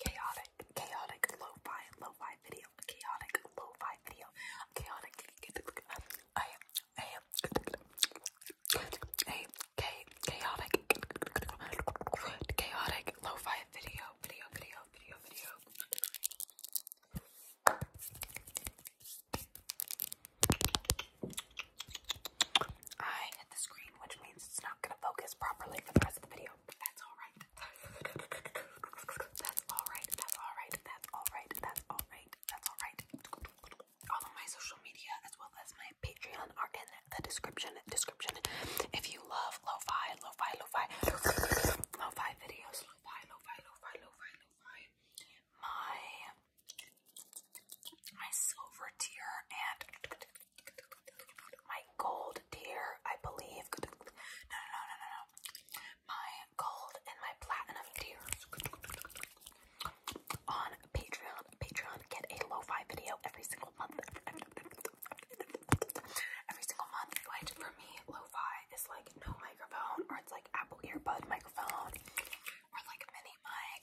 chaotic, chaotic lo-fi, lo-fi video, chaotic lo-fi video, chaotic. I am, I am, a chaotic, chaotic lo-fi video, video, video, video, video. I hit the screen, which means it's not going to focus properly for the rest of the video video. That's alright. That's alright. That's alright. That's alright. That's alright. All of my social media as well as my Patreon are in the description. Description. If you love lo-fi, lo-fi, videos, lo-fi, lo-fi, lo my my silver tier and my gold deer, I believe. No, no, no, no, no. My gold and my platinum deer on Patreon. Patreon get a lo video every single month. Every single month, which for me, lo is like no microphone, or it's like Apple earbud microphone, or like mini mic.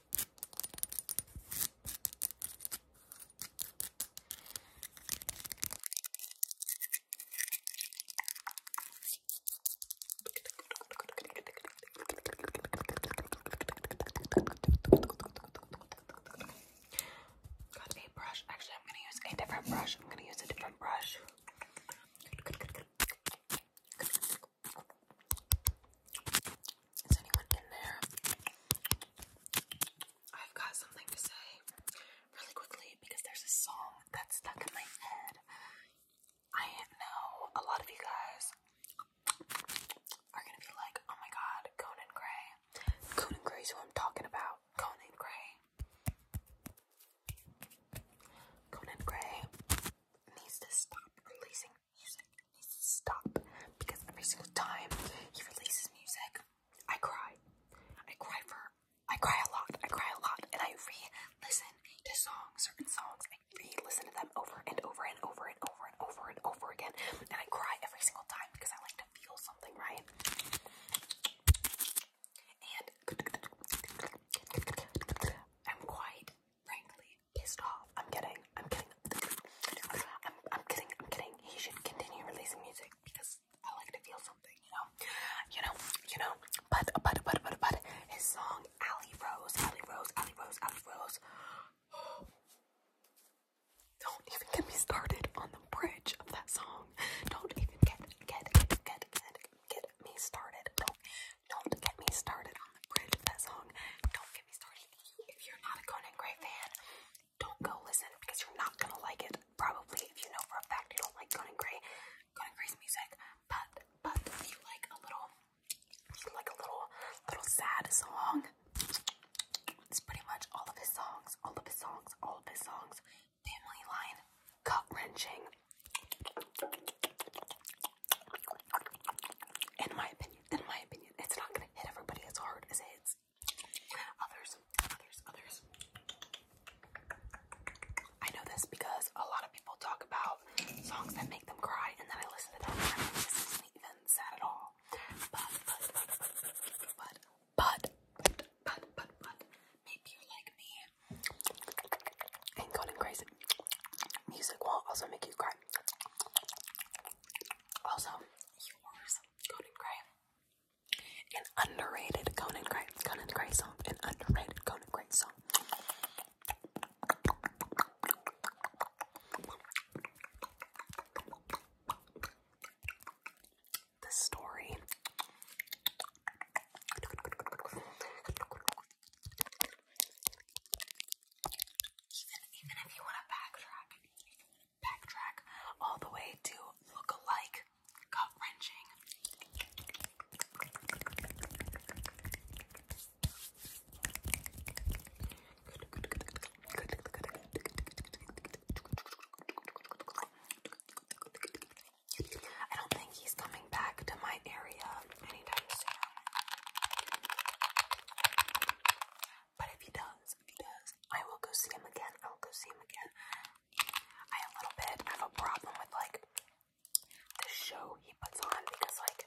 Got a brush. Actually, I'm gonna use a different brush. I'm gonna use a different brush. Is anyone in there? I've got something to say really quickly because there's a song that's stuck in my head. I know a lot of you guys are gonna be like, oh my god, Conan Gray. Conan Gray's who I'm talking about. Conan Gray. Conan Gray needs to stop releasing music needs to stop because every single time he releases music, I cry. I cry for, I cry a lot, I cry a lot, and I re-listen to songs, certain songs, I re-listen to them over and over and over and over and over and over again, and I cry every single time because I like to feel something, right? And I'm quite, frankly, pissed off. I'm kidding. I'm kidding. I'm, I'm kidding. I'm kidding. He should continue releasing music because I like to feel something, you know? You know, you know, but, but, but, but, but, his song, Allie Rose, Allie Rose, Allie Rose, Allie Rose. Don't even get me started on the bridge of that song. Don't even get, get, get, get, get me started. Don't don't get me started on the bridge of that song. Don't get me started. If you're not a Conan Gray fan, don't go listen because you're not gonna like it. Probably if you know for a fact you don't like Conan Gray, Conan Gray's music. But but if you like a little, like a little little sad song. It's pretty much all of his songs, all of his songs, all of his songs. Family Line, gut wrenching, in my opinion, in my opinion, it's not gonna hit everybody as hard as it hits others, others, others. I know this because a lot of people talk about songs that make them cry, and then I listen to them, and this isn't even sad at all. but, but, but, but, but, but maybe you're like me and Colin Gray's music will also make you cry. Also, Conan Gray. An underrated Conan Gray, Conan Gray song, an underrated Conan Gray song. The story even if you want to backtrack, backtrack all the way to look alike, gut wrenching. I don't think he's coming back to my area anytime soon. But if he does, if he does, I will go see him again. I will go see him again. I a little bit have a problem with like the show he puts on because like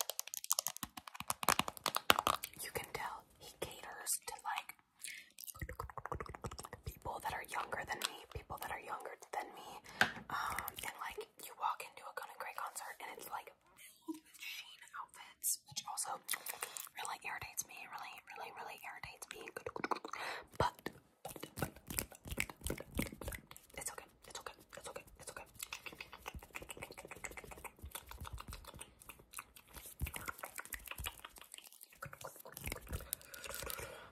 you can tell he caters to like people that are younger than me, people that are younger than me, um, and like you walk into a Gun Grey concert and it's like filled with Sheen outfits, which also really irritates me. Really, really, really irritates me. but it's okay. It's okay. It's okay. It's okay.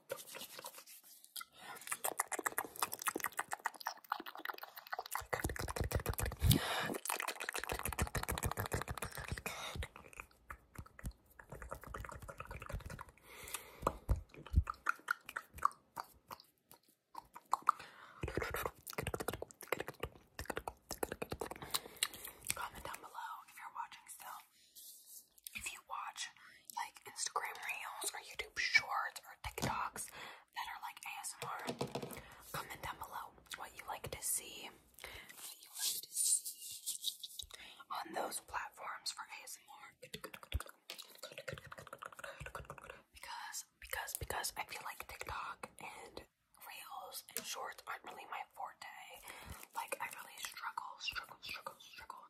Comment down below if you're watching still if you watch like Instagram reels or YouTube shorts or TikToks that are like ASMR, comment down below what you like to see. on those platforms for ASMR. Because because because I feel like TikTok and reels and shorts aren't really my forte. Like I really struggle, struggle, struggle, struggle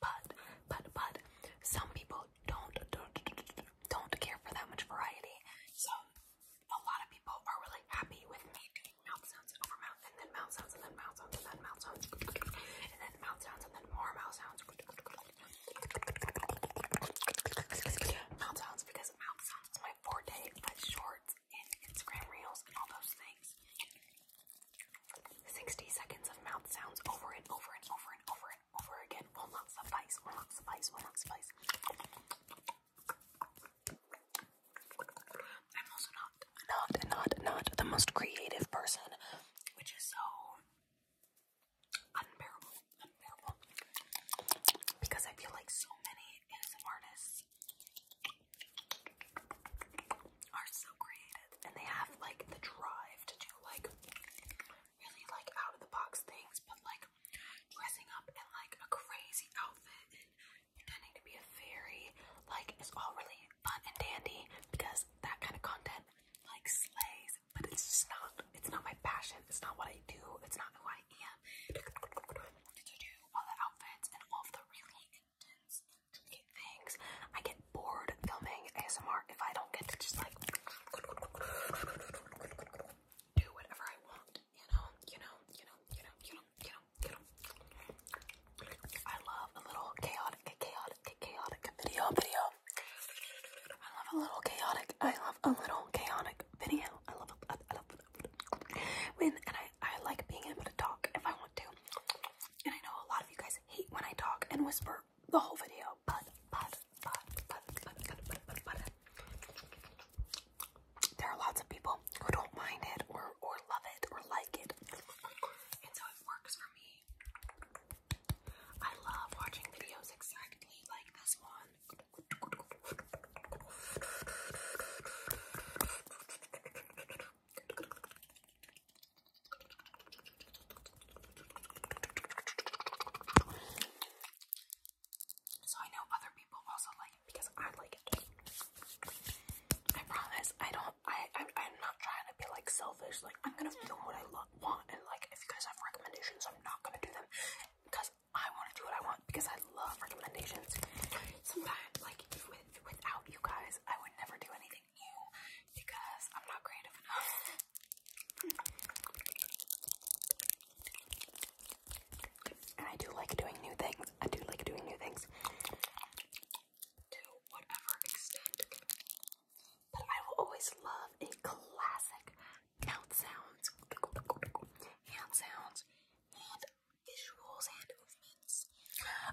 but but but some people don't don't don't care for that much variety. So a lot of people are really happy with me doing mouth sounds over mouth and then mouth sounds and then mouth sounds and then mouth sounds and then mouth sounds and then more mouth sounds. Mouth sounds because mouth sounds is my forte, but shorts and Instagram reels and all those things. 60 seconds of mouth sounds over and over and over and over over again will not suffice, will not suffice, will not suffice. I'm also not, not, not, not the most creative person, which is so unbearable, unbearable. Because I feel like so many artists are so creative and they have like the drive to do like really like out of the box things, but like dressing up in like a crazy outfit and pretending to be a fairy, like it's all really fun and dandy because that kind of content like slays, but it's just not it's not my passion, it's not what I do, it's not who I am. To do all the outfits and all the really intense things. I get bored filming ASMR if I don't get to just like do whatever I want. You know, you know, you know, you know, you know, you know, you know. I love a little chaotic, chaotic, chaotic video, video. I love a little chaotic. I love a little chaotic video. I love. A, I love. When and I, I like being able to talk if I want to. And I know a lot of you guys hate when I talk and whisper the whole video, but but but but but but but there are lots of people who don't mind it or or love it or like it, and so it works for me. I love watching videos exactly like this one. So I know other people also like it because I like it. I promise I don't I, I am not trying to be like selfish, like I'm gonna film what I love want and like if you guys have recommendations I'm not gonna do them because I wanna do what I want because I love recommendations. Sometimes like with without you guys I would never do anything because I'm not creative enough. I do like doing new things. I do like doing new things to whatever extent. But I will always love a classic count sounds, hand sounds, and visuals, and movement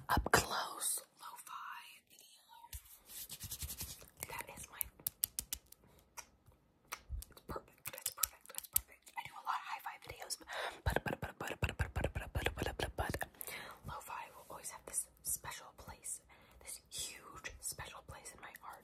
up close lo-fi That is my perfect. That's perfect. That's perfect. I do a lot of hi-fi videos, but but but but but but but but but but but but lo will always have this special place, this huge special place in my heart.